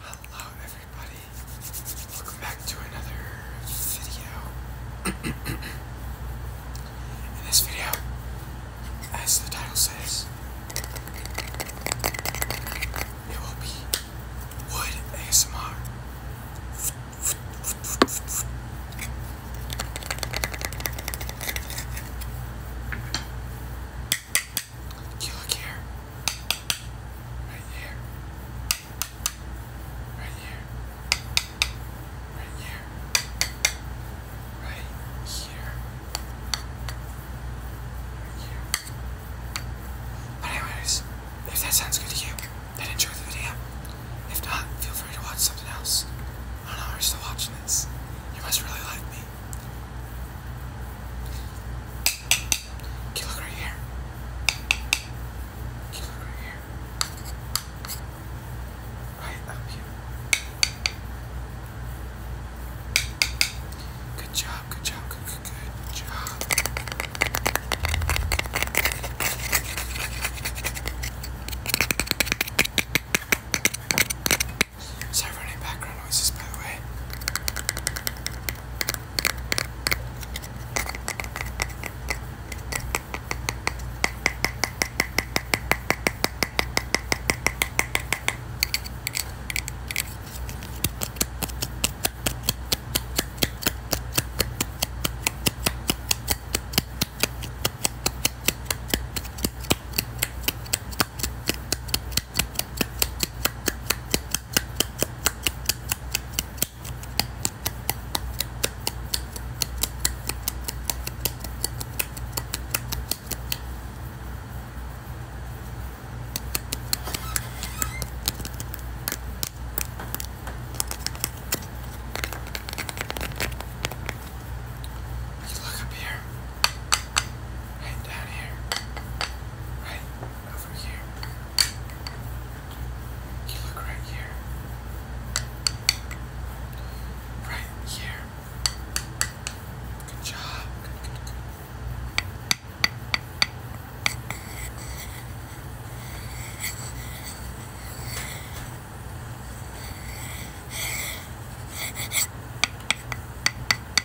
Hello everybody, welcome back to another video. In this video, as the title says, it will be Wood ASMR. You look here. Right here. Right here. Right here. Right here. Right here. But anyways, if that sounds good to you, then enjoy the video. If not, feel free to watch something else. I don't know, we're still watching this. You must really like me. Okay, look right here. Okay, look right here. Right up here. Good job, good job, good, good, good job. Sorry for any background noises, by the way. Let's look up here. Right down here. Right over here. You look right here. Right here. Good job. Good, good, good. Right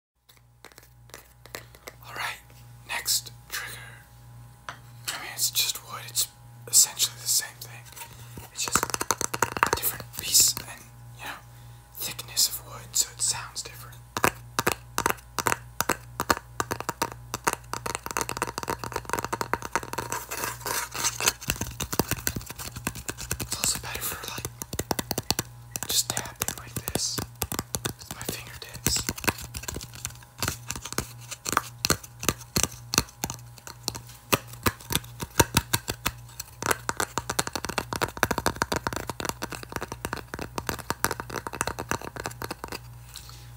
Alright, next trigger. I mean, it's just wood, it's essentially the same thing. It's just a different piece and, you know, thickness of wood, so it sounds different. It's also better for like just tapping like this with my fingertips.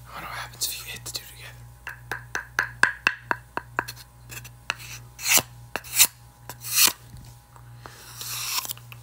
I wonder what happens if you hit the two together.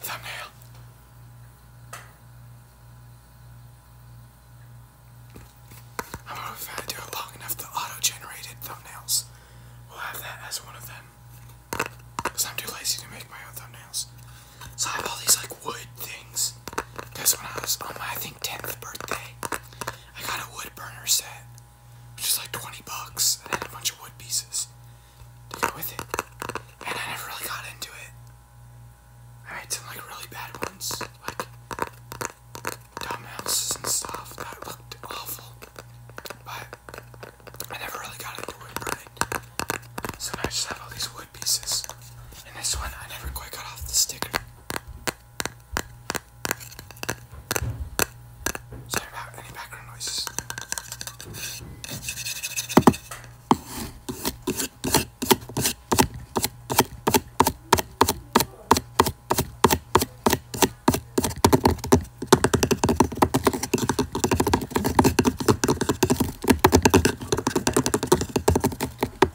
Thumbnail. I am gonna if I do it long enough, the auto-generated thumbnails will have that as one of them. Because I'm too lazy to make my own thumbnails. So I have all these like wood things. Because when I was on my, I think, 10th birthday, I got a wood burner set, which is like 20 bucks, and a bunch of wood pieces to go with it. And I never really got into it. I made some like really bad ones, like dumb houses and stuff that looked awful. But I never really got into wood burning. So now I just have all these wood pieces. And this one, I never quite got off the sticker. Sorry about any background noises.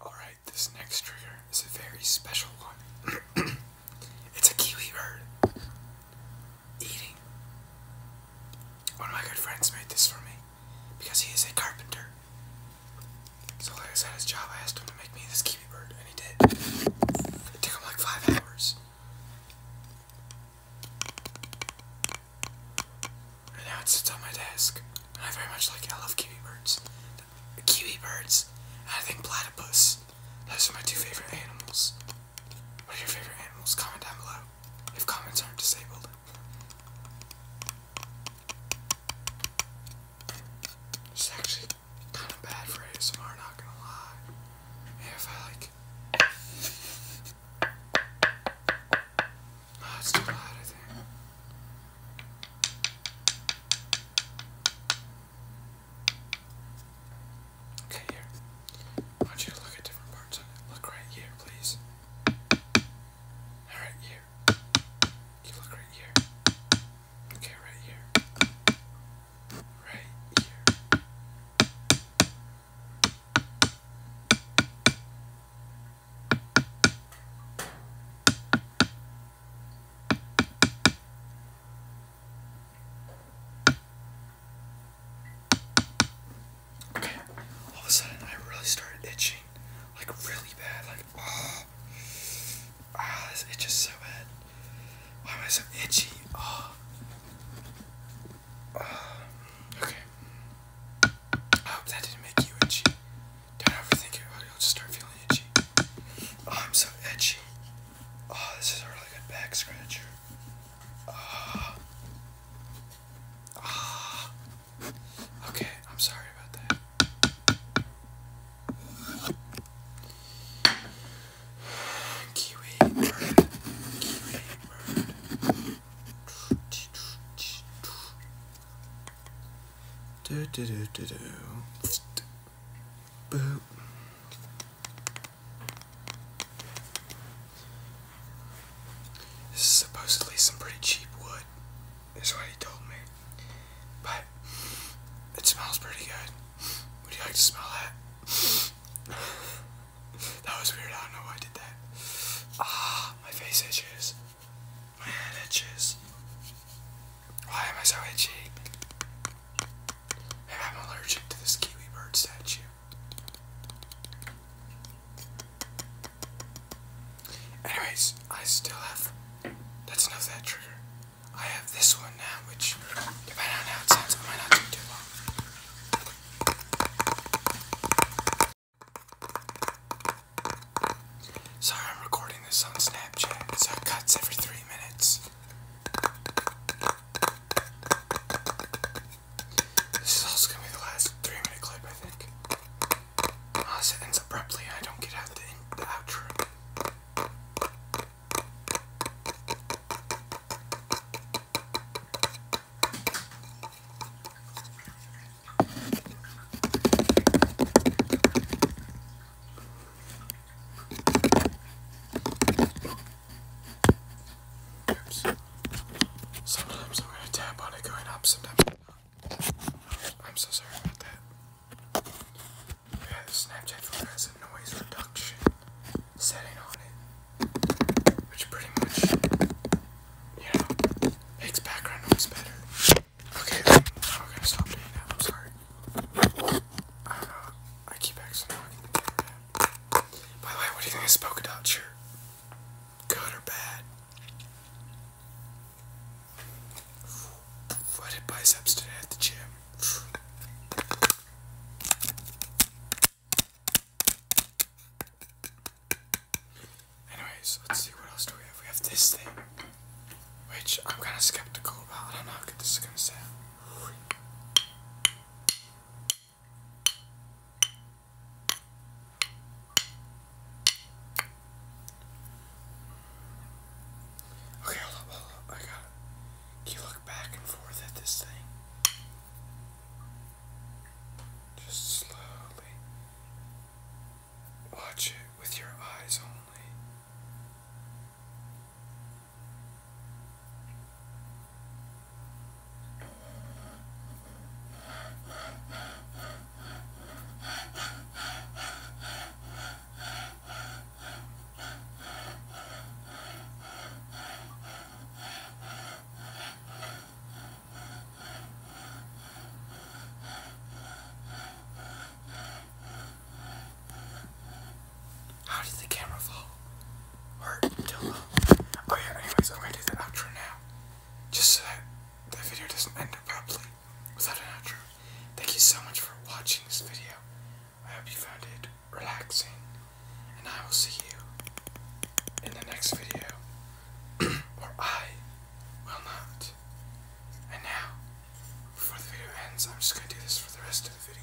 Alright, this next trigger is a very special one. it's a kiwi bird. Eating. One of my good friends made this for me because he is a carpenter. So, like I his job, I asked him to make me this kiwi bird, and he did. It took him like five hours. And now it sits on my desk. I very much like it. I love kiwi birds. kiwi birds. I think platypus. Those are my two favorite animals. What are your favorite animals? Comment down below if comments aren't disabled. It's actually kind of bad for ASMR, not gonna lie. if I like. Oh, it's too loud, Okay, here. I want you to look at different parts of it. Look right here, please. Alright, here. You look right here. Okay, right here. Right here. Okay, all of a sudden I really started itching, like really bad, like oh, ah, oh, this itches so bad. Why am I so itchy? Oh. okay. I hope that didn't make you itchy. Don't overthink it, or you'll just start feeling itchy. Oh, I'm so itchy. Oh, this is a really good back scratcher. Ah. ah. okay, I'm sorry about that. Kiwi bird. Kiwi bird. This is supposedly some pretty cheap wood, is what he told me. But it smells pretty good. Would you like to smell that? that was weird. I don't know why I did that. Ah, my face itches. Man, itches. Why am I so itchy? I'm allergic to this kiwi bird statue. Anyways, I still have. That's enough of that trigger. I have this one now, which, depending on how it sounds, might not do too long. Sorry, I'm recording this on Snapchat, so it cuts every three minutes. This is also gonna be the last three minute clip, I think. Unless it ends abruptly I don't get out the, in the outro. Oops. Sometimes I'm going to tap on it going up, sometimes not. I'm so sorry about that. Yeah, Snapchat phone has a noise reduction setting on it, which pretty much yeah, makes background noise better. Okay, I'm gonna stop doing that. I'm sorry. I don't know. keep accidentally. By the way, what do you think of this Good or bad? I did biceps today at the gym. Anyways, let's see what else do we have. We have this thing, which I'm kind of skeptical about. I don't know how good this is gonna sound. Okay, hold up, hold up. I got it. you look back and forth at this thing? Just slowly watch it with your eyes only. How did the camera fall? Or until Oh yeah, anyways, I'm gonna do the outro now. Just so that the video doesn't end abruptly without an outro. Thank you so much for watching this video. I hope you found it relaxing. And I will see you in the next video or I will not. And now, before the video ends, I'm just going to do this for the rest of the video.